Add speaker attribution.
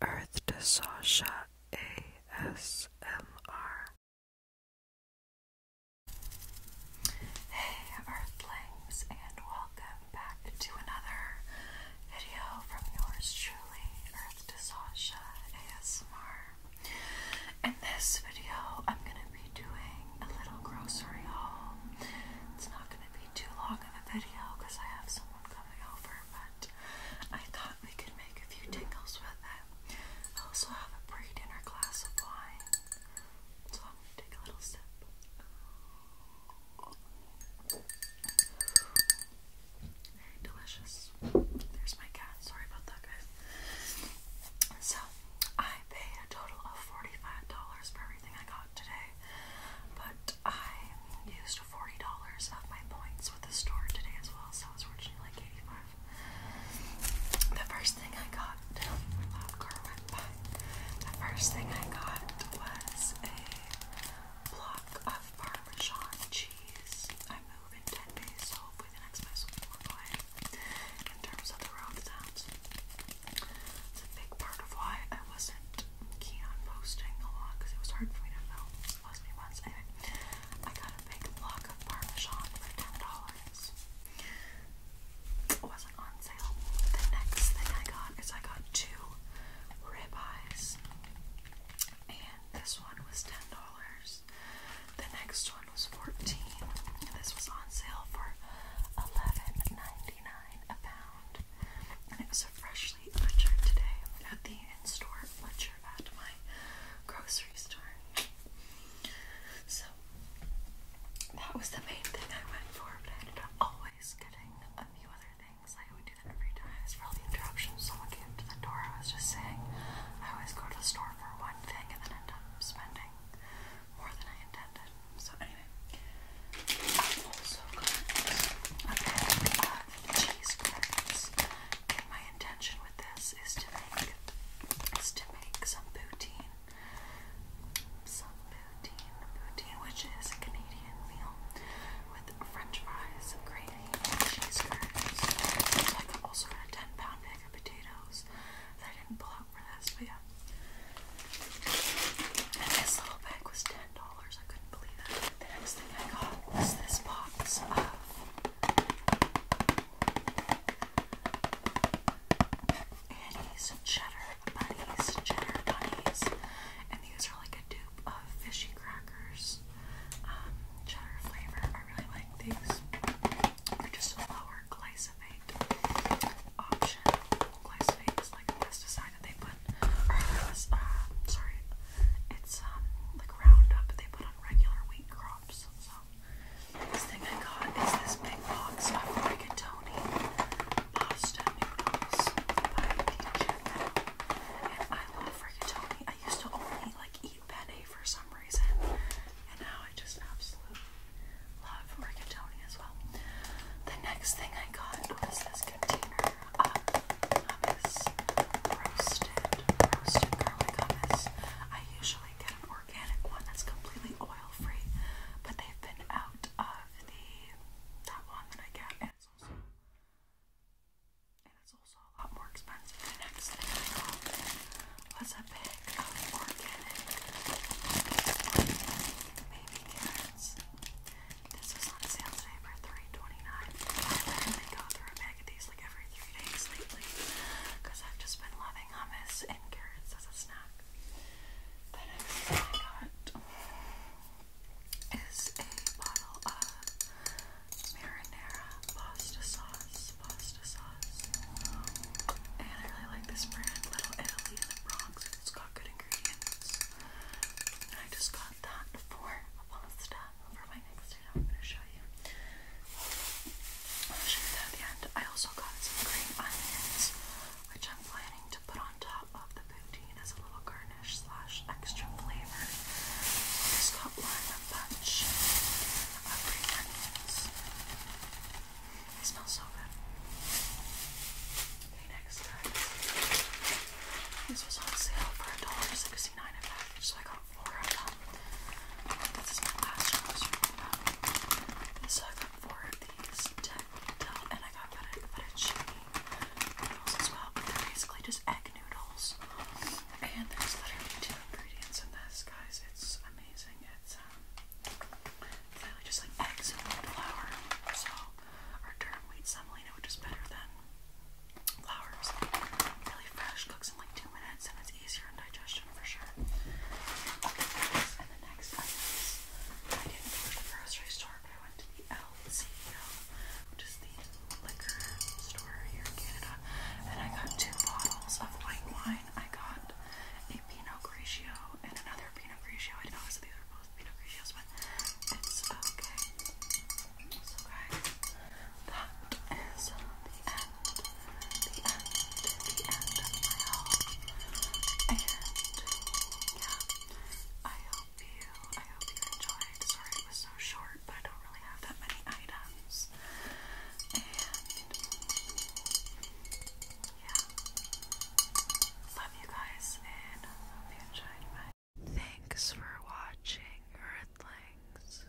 Speaker 1: Earth to Sasha ASMR. Hey Earthlings, and welcome back to another video from yours truly, Earth to Sasha ASMR. In this video, I'm going to be doing a little grocery haul. It's not going to be too long video because I have someone coming over, but I thought we could make a few tingles with it. I also have a pre dinner glass of wine, so I'm going to take a little sip. delicious. There's my cat. Sorry about that, guys. So, I paid a total of $45 for everything I got today but I used $40 of my points with the store today as well, so I was originally like 85 The first thing I got, my loud car the first thing I got was a block of Parmesan cheese. I move in 10 days, so hopefully the next place will be it's a big part of why I wasn't keen on posting a lot because it was hard for me to know. It was me once. Anyway, I got a big block of Parmesan for $10. It wasn't on sale. The next thing I got is I got two ribeyes. And this one was $10. The next one one was 14 and this was on sale for $11.99 a pound. And it was a freshly butchered today at the in-store butcher at my grocery store. So that was the main thing I went for, but I ended up always getting a few other things. I would do that every time. It's for all the interruptions. Someone came to the door. I was just saying I always go to the store for one thing and then end up spending more than I intended. So anyway, also got cheese crackers. And my intention with this is to make is to make some poutine. Some poutine, poutine, which is a Canadian meal with French fries, and gravy, and cheese curds. I also got 10 pound potatoes that I didn't pull out for this, but yeah. And this little bag was $10. I couldn't believe it. The next thing I got was this box of Annie's Cheddar Bunnies, Cheddar Bunnies. And these are like a dupe of fishy crackers. Um, cheddar flavor. I really like these. They're just a lower glyphosate option. Glyphosate is like a pesticide they put, uh, sorry, it's um, like Roundup they put on regular wheat crops. So, next thing I got is this big box of rigatoni pasta noodles I love rigatoni. I used to only like eat eat for some reason, and now I just absolutely love rigatoni as well. The next thing I got was this container of hummus, roasted, roasted garlic hummus. I usually get an organic one that's completely oil-free, but they've been out of the that one that I get, and it's also and it's also a lot more expensive. The next thing I got was a bag of um, organic baby carrots. This was on sale today for $3.29. I literally through a bag of these like every three days lately because I've just been loving hummus and carrots as a snack. The next thing I got is a bottle of marinara pasta sauce. Pasta sauce. And I really like this brand, Little Italy in the Bronx. It's got good ingredients. I just got that for a pasta for my next date. I'm gonna show you. I'll show you that at the end. I also got some green onions, which I'm planning to put on top top the poutine as a little garnish slash extra flavor. Just got one bunch of green They smell so good. Okay, next This was on sale for $1.69 a package, so I got four of them. This is my last grocery. So I got four of these and I got fettuccine noodles as well. basically just egg noodles, and there's literally two ingredients in this, guys. It's amazing. It's um, literally just like eggs and flour. So, our term wheat semolina, which is better than flour, is really fresh, cooks in like two minutes, and it's easier on digestion. I didn't go to the grocery store, but I went to the LCBO, which is the liquor store here in Canada, and I got two bottles of white wine. I got a Pinot Grigio and another Pinot Grigio. I didn't notice that these were both Pinot Grigios, but it's okay. So, guys, that is the end the end, the end of my haul. yeah, I hope you, I hope you enjoyed. Sorry it was so short, but I don't really have that many items. And yeah, love you guys, and hope you enjoyed my. Thanks for watching, Earthlings.